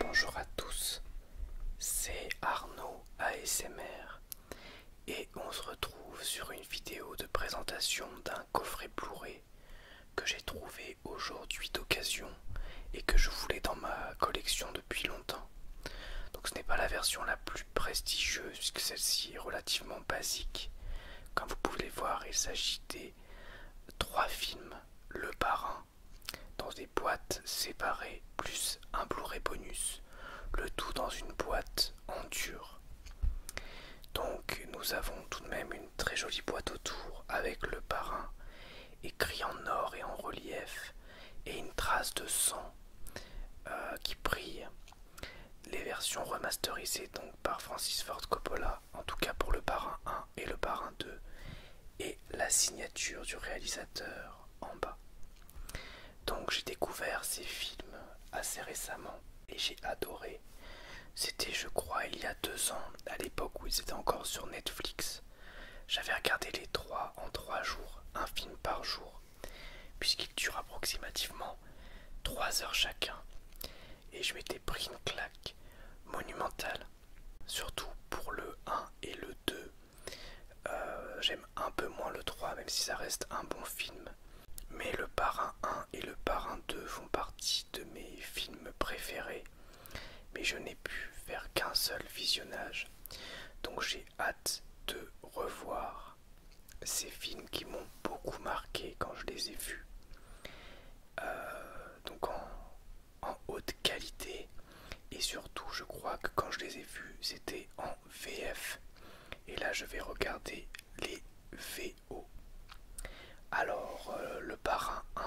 Bonjour à tous, c'est Arnaud ASMR et on se retrouve sur une vidéo de présentation d'un coffret Blu-ray que j'ai trouvé aujourd'hui d'occasion et que je voulais dans ma collection depuis longtemps. Donc ce n'est pas la version la plus prestigieuse que celle-ci est relativement basique. Comme vous pouvez le voir, il s'agit des trois films, le parrain, dans des boîtes séparées, plus un Blu-ray bonus, le tout dans une boîte en dur. Donc nous avons tout de même une très jolie boîte autour avec le parrain écrit en or et en relief et une trace de sang euh, qui brille les versions remasterisées donc par Francis Ford Coppola, en tout cas pour le parrain 1 et le parrain 2, et la signature du réalisateur en bas. Donc j'ai découvert ces films assez récemment et j'ai adoré. C'était je crois il y a deux ans, à l'époque où ils étaient encore sur Netflix. J'avais regardé les trois en trois jours, un film par jour, puisqu'il dure approximativement 3 heures chacun, et je m'étais pris une claque monumentale, surtout pour le 1 et le 2. Euh, j'aime un peu moins le 3, même si ça reste un bon film. Mais le Parrain 1 et le Parrain 2 font partie de mes films préférés. Mais je n'ai pu faire qu'un seul visionnage. Donc j'ai hâte de revoir ces films qui m'ont beaucoup marqué quand je les ai vus. Euh, donc en, haute qualité et surtout je crois que quand je les ai vus c'était en VF et là je vais regarder les VO alors euh, le parrain 1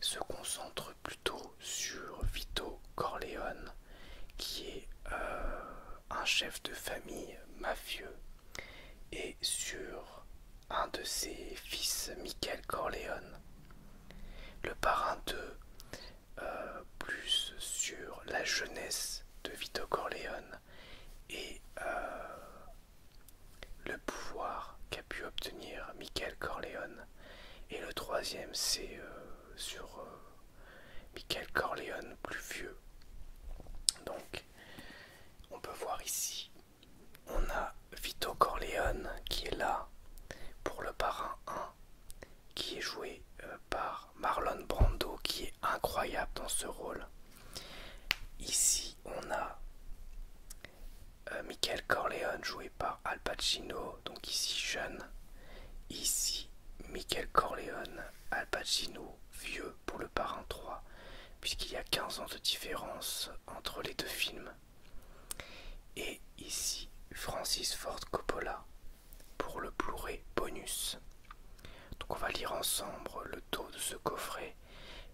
se concentre plutôt sur Vito Corleone qui est euh, un chef de famille mafieux et sur un de ses fils, Michael Corleone. Le parrain de euh, plus sur la jeunesse de Vito Corleone et euh, le pouvoir qu'a pu obtenir Michael Corleone. Et le troisième, c'est euh, sur Michael Corleone plus vieux. Donc, on peut voir ici, on a Vito Corleone qui est là pour le parrain 1, qui est joué euh, par Marlon Brando, qui est incroyable dans ce rôle. Ici, on a euh, Michael Corleone joué par Al Pacino, donc ici jeune. Ici, Michael Corleone, Al Pacino, vieux pour le parrain 3, puisqu'il y a 15 ans de différence entre les deux films. Et ici, Francis Ford Coppola pour le Blu-ray bonus. Donc on va lire ensemble le dos de ce coffret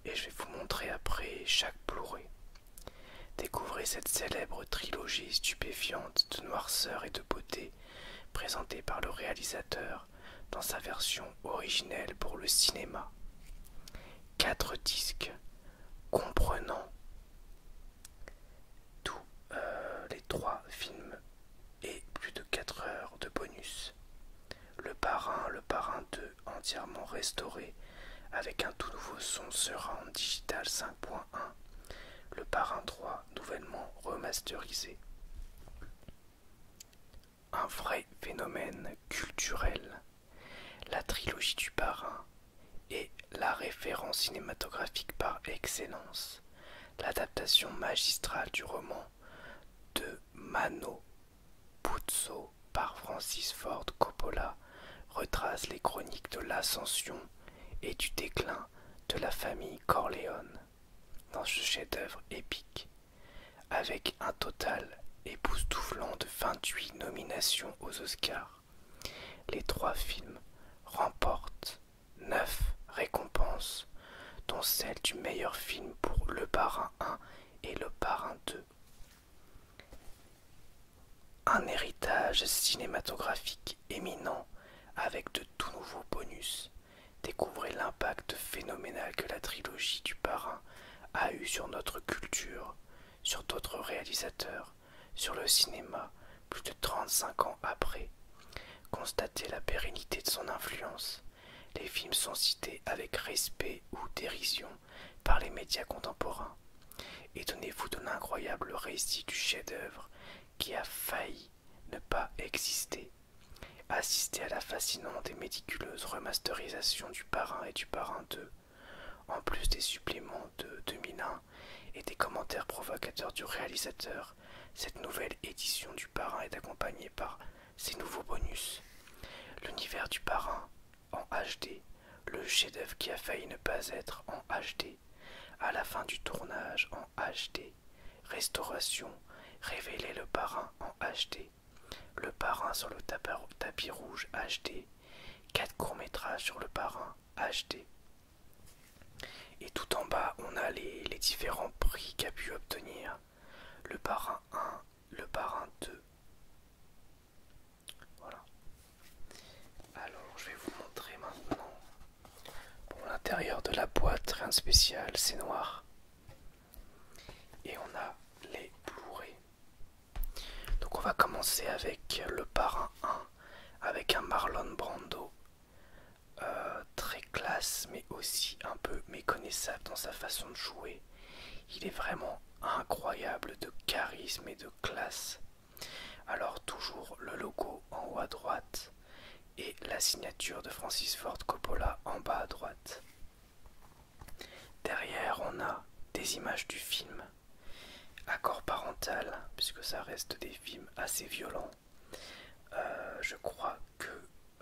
et je vais vous montrer après chaque Blu-ray. Découvrez cette célèbre trilogie stupéfiante de noirceur et de beauté présenté par le réalisateur dans sa version originelle pour le cinéma. Quatre disques comprenant tous euh, les trois films et plus de 4 heures de bonus. Le parrain, le parrain 2 entièrement restauré avec un tout nouveau son en digital 5.1. Le parrain 3 nouvellement remasterisé. Un vrai phénomène culturel, la trilogie du parrain est la référence cinématographique par excellence, l'adaptation magistrale du roman de Mano Puzzo par Francis Ford Coppola retrace les chroniques de l'ascension et du déclin de la famille Corleone dans ce chef-d'œuvre épique, avec un total époustouflant de 28 nominations aux Oscars. Les trois films remportent 9 récompenses, dont celle du meilleur film pour Le Parrain 1 et Le Parrain 2. Un héritage cinématographique éminents avec de tout nouveaux bonus. Découvrez l'impact phénoménal que la trilogie du parrain a eu sur notre culture, sur d'autres réalisateurs, sur le cinéma plus de 35 ans après. Constatez la pérennité de son influence. Les films sont cités avec respect ou dérision par les médias contemporains. Étonnez-vous de l'incroyable récit du chef-d'œuvre qui a failli ne pas exister. Assister à la fascinante et méticuleuse remasterisation du parrain et du parrain 2, en plus des suppléments de 2001 et des commentaires provocateurs du réalisateur, cette nouvelle édition du parrain est accompagnée par ces nouveaux bonus. L'univers du parrain en HD, le chef-d'œuvre qui a failli ne pas être en HD, à la fin du tournage en HD, Restauration, révéler le parrain en HD. Le parrain sur le tapis rouge HD. Quatre courts-métrages sur le parrain HD. Et tout en bas, on a les, les différents prix qu'a pu obtenir le parrain 1, le parrain 2. Voilà. Alors, je vais vous montrer maintenant l'intérieur de la boîte, rien de spécial, c'est noir. Et on a les blu Donc on va commencer avec le parrain 1, avec un Marlon Brando. Euh, très classe, mais aussi un peu méconnaissable dans sa façon de jouer. Il est vraiment incroyable de charisme et de classe. Alors toujours le logo en haut à droite et la signature de Francis Ford Coppola en bas à droite. Derrière, on a des images du film, accord parental, puisque ça reste des films assez violents. Euh, je crois que,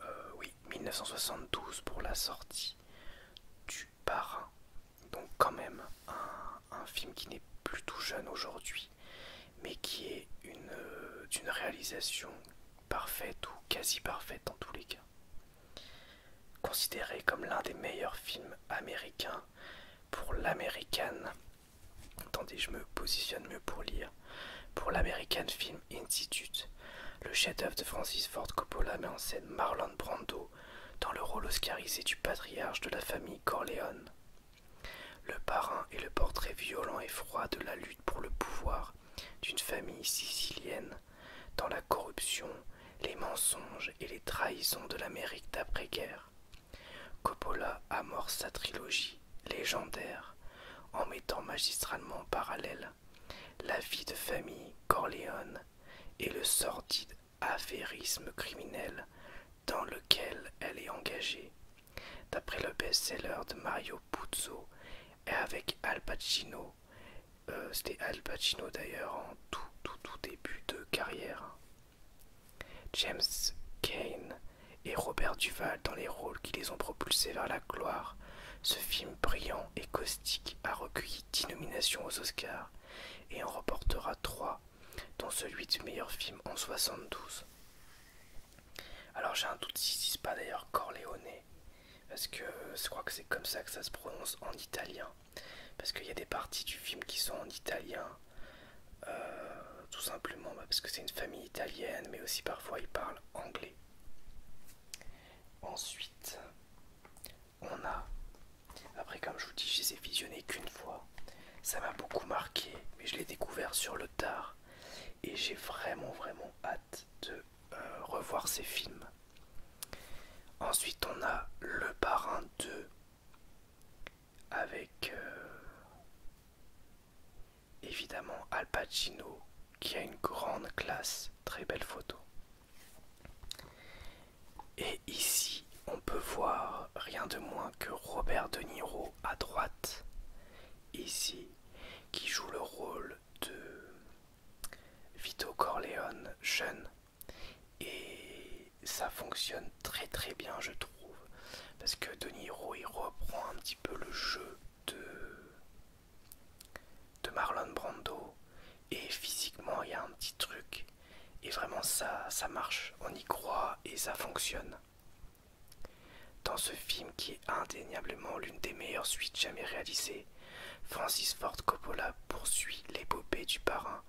euh, oui, 1972 pour la sortie du parrain. Donc quand même un film qui n'est plus tout jeune aujourd'hui mais qui est une euh, d'une réalisation parfaite ou quasi parfaite dans tous les cas. Considéré comme l'un des meilleurs films américains pour l'American, attendez je me positionne mieux pour lire, pour l'American Film Institute, le chef-d'œuvre de Francis Ford Coppola met en scène Marlon Brando dans le rôle oscarisé du patriarche de la famille Corleone. Le parrain est le portrait violent et froid de la lutte pour le pouvoir d'une famille sicilienne dans la corruption, les mensonges et les trahisons de l'Amérique d'après-guerre. Coppola amorce sa trilogie légendaire en mettant magistralement en parallèle la vie de famille Corleone et le sordide affairisme criminel dans lequel elle est engagée, d'après le best-seller de Mario Puzo et avec Al Pacino. Euh, c'était Al Pacino d'ailleurs en tout, tout, début de carrière. James Kane et Robert Duval dans les rôles qui les ont propulsés vers la gloire. Ce film brillant et caustique a recueilli 10 nominations aux Oscars et en remportera 3, dont celui du meilleur film en 72. Alors j'ai un doute si c'est pas d'ailleurs Corleone, parce que je crois que c'est comme ça que ça se prononce en italien, parce qu'il y a des parties du film qui sont en italien, euh, tout simplement bah, parce que c'est une famille italienne, mais aussi parfois ils parlent anglais. Ensuite, on a, après comme je vous dis, je les ai visionnés qu'une fois, ça m'a beaucoup marqué, mais je l'ai découvert sur le tard et j'ai vraiment vraiment hâte de euh, revoir ces films. Ensuite on a Le Parrain 2 avec euh, évidemment Al Pacino qui a une grande classe, très belle photo. Et ici on peut voir rien de moins que Robert De Niro à droite, ici, qui joue le rôle de Vito Corleone jeune. Et ça fonctionne très très bien, je trouve, parce que De Niro il reprend un petit peu le jeu de, de Marlon Brando. Et physiquement, il y a un petit truc. Et vraiment, ça, ça marche. On y croit et ça fonctionne. Dans ce film qui est indéniablement l'une des meilleures suites jamais réalisées, Francis Ford Coppola poursuit l'épopée du parrain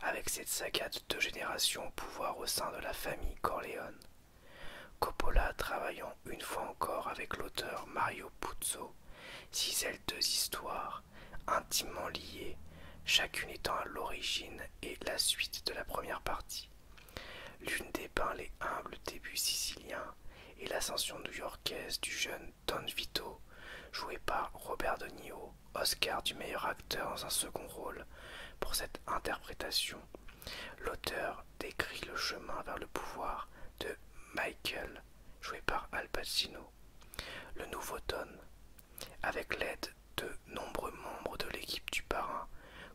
avec cette saga de deux générations au pouvoir au sein de la famille Corleone. Coppola travaillant une fois encore avec l'auteur Mario Puzo cisèle deux histoires intimement liées, chacune étant à l'origine et la suite de la première partie, L'une dépeint les humbles débuts siciliens et l'ascension new-yorkaise du jeune Don Vito, joué par Robert De Niro, Oscar du meilleur acteur dans un second rôle. Pour cette interprétation, l'auteur décrit le chemin vers le pouvoir de Michael, joué par Al Pacino, le nouveau Don, avec l'aide de nombreux membres de l'équipe du parrain,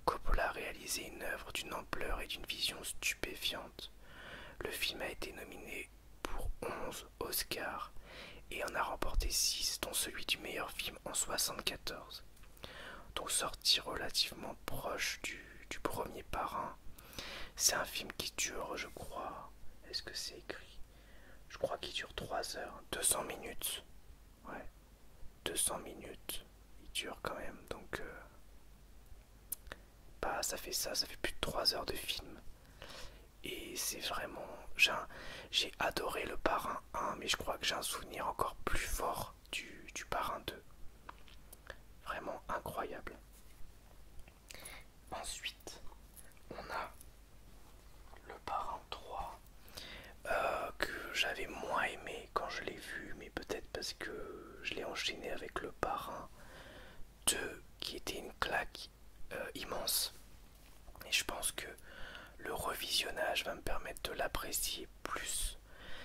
Coppola a réalisé une œuvre d'une ampleur et d'une vision stupéfiante. Le film a été nominé pour 11 Oscars et en a remporté 6, dont celui du meilleur film en 1974. Donc sorti relativement proche du, du premier parrain. C'est un film qui dure, je crois, est-ce que c'est écrit Je crois qu'il dure 3 heures, 200 minutes. Ouais, 200 minutes il dure quand même, donc euh, bah, ça fait ça, ça fait plus de 3 heures de film. Et c'est vraiment... J'ai adoré le parrain 1, mais je crois que j'ai un souvenir encore plus fort du, du parrain 2. Vraiment incroyable. Ensuite, on a le parrain 3. Euh, que j'avais moins aimé quand je l'ai vu, mais peut-être parce que je l'ai enchaîné avec le parrain 2 qui était une claque euh, immense. Et je pense que le revisionnage va me permettre de l'apprécier plus.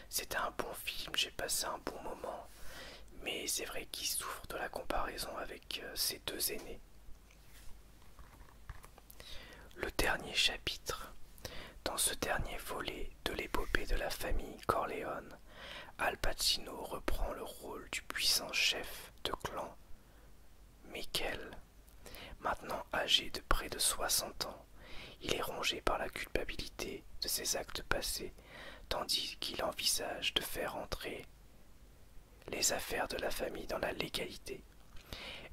C'était un bon film, j'ai passé un bon moment, mais c'est vrai qu'il souffre de la comparaison avec ses euh, deux aînés. Le dernier chapitre. Dans ce dernier volet de l'épopée de la famille Corleone, Al Pacino reprend le rôle du puissant chef de clan Michael. Maintenant âgé de près de 60 ans, il est rongé par la culpabilité de ses actes passés, tandis qu'il envisage de faire entrer les affaires de la famille dans la légalité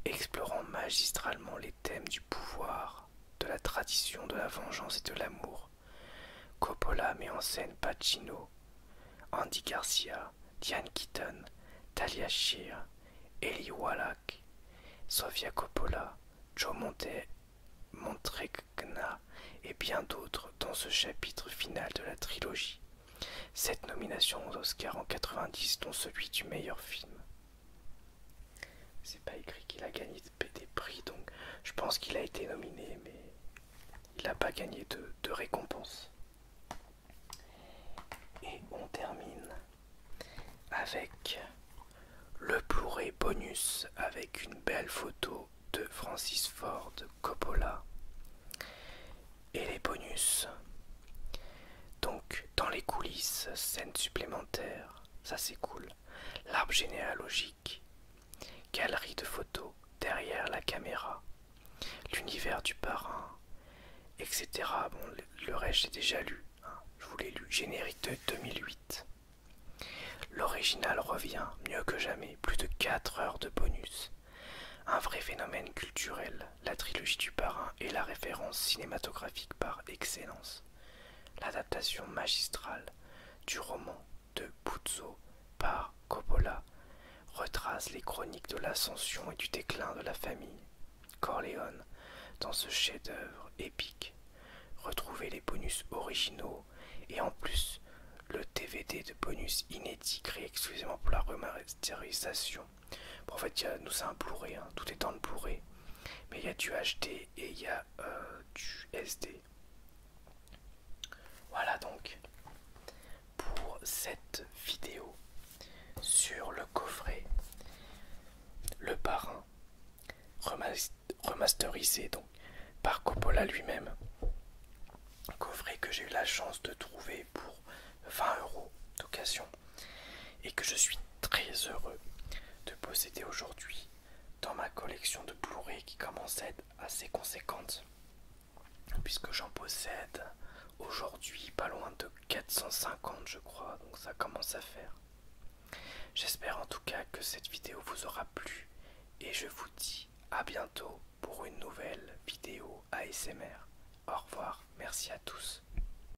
explorant magistralement les thèmes du pouvoir, de la tradition, de la vengeance et de l'amour. Coppola met en scène Pacino, Andy Garcia, Diane Keaton, Talia Sheer, Eli Wallach, Sofia Coppola, Joe Monte, et bien d'autres dans ce chapitre final de la trilogie. Cette nomination aux Oscars en 1990 dont celui du meilleur film. C'est pas écrit qu'il a gagné des prix, donc je pense qu'il a été nominé, mais il n'a pas gagné de, récompense. Et on termine avec le pourré bonus avec une belle photo de Francis Ford Coppola. Et les bonus. Donc, dans les coulisses, scènes supplémentaires, ça c'est cool. L'arbre généalogique, galerie de photos derrière la caméra, l'univers du parrain, etc. Bon, le, reste j'ai déjà lu, hein. je vous l'ai lu, générique 2008. L'original revient, mieux que jamais, plus de 4 heures de bonus. Un vrai phénomène culturel la trilogie du parrain est la référence cinématographique par excellence, l'adaptation magistrale du roman de Buzzo par Coppola retrace les chroniques de l'ascension et du déclin de la famille Corleone dans ce chef-d'œuvre épique. Retrouvez les bonus originaux et en plus le DVD de bonus inédit créé exclusivement pour la remasterisation en fait, nous, c'est un Blu-ray, hein. tout est en le Blu-ray. Mais il y a du HD et il y a euh, du SD. Voilà donc pour cette vidéo sur le coffret Le Parrain remasterisé donc par Coppola lui-même. Coffret que j'ai eu la chance de trouver pour 20 euros d'occasion et que je suis très heureux de posséder aujourd'hui dans ma collection de Blu-ray qui commence à être assez conséquente puisque j'en possède aujourd'hui pas loin de 450 je crois donc ça commence à faire j'espère en tout cas que cette vidéo vous aura plu et je vous dis à bientôt pour une nouvelle vidéo ASMR au revoir merci à tous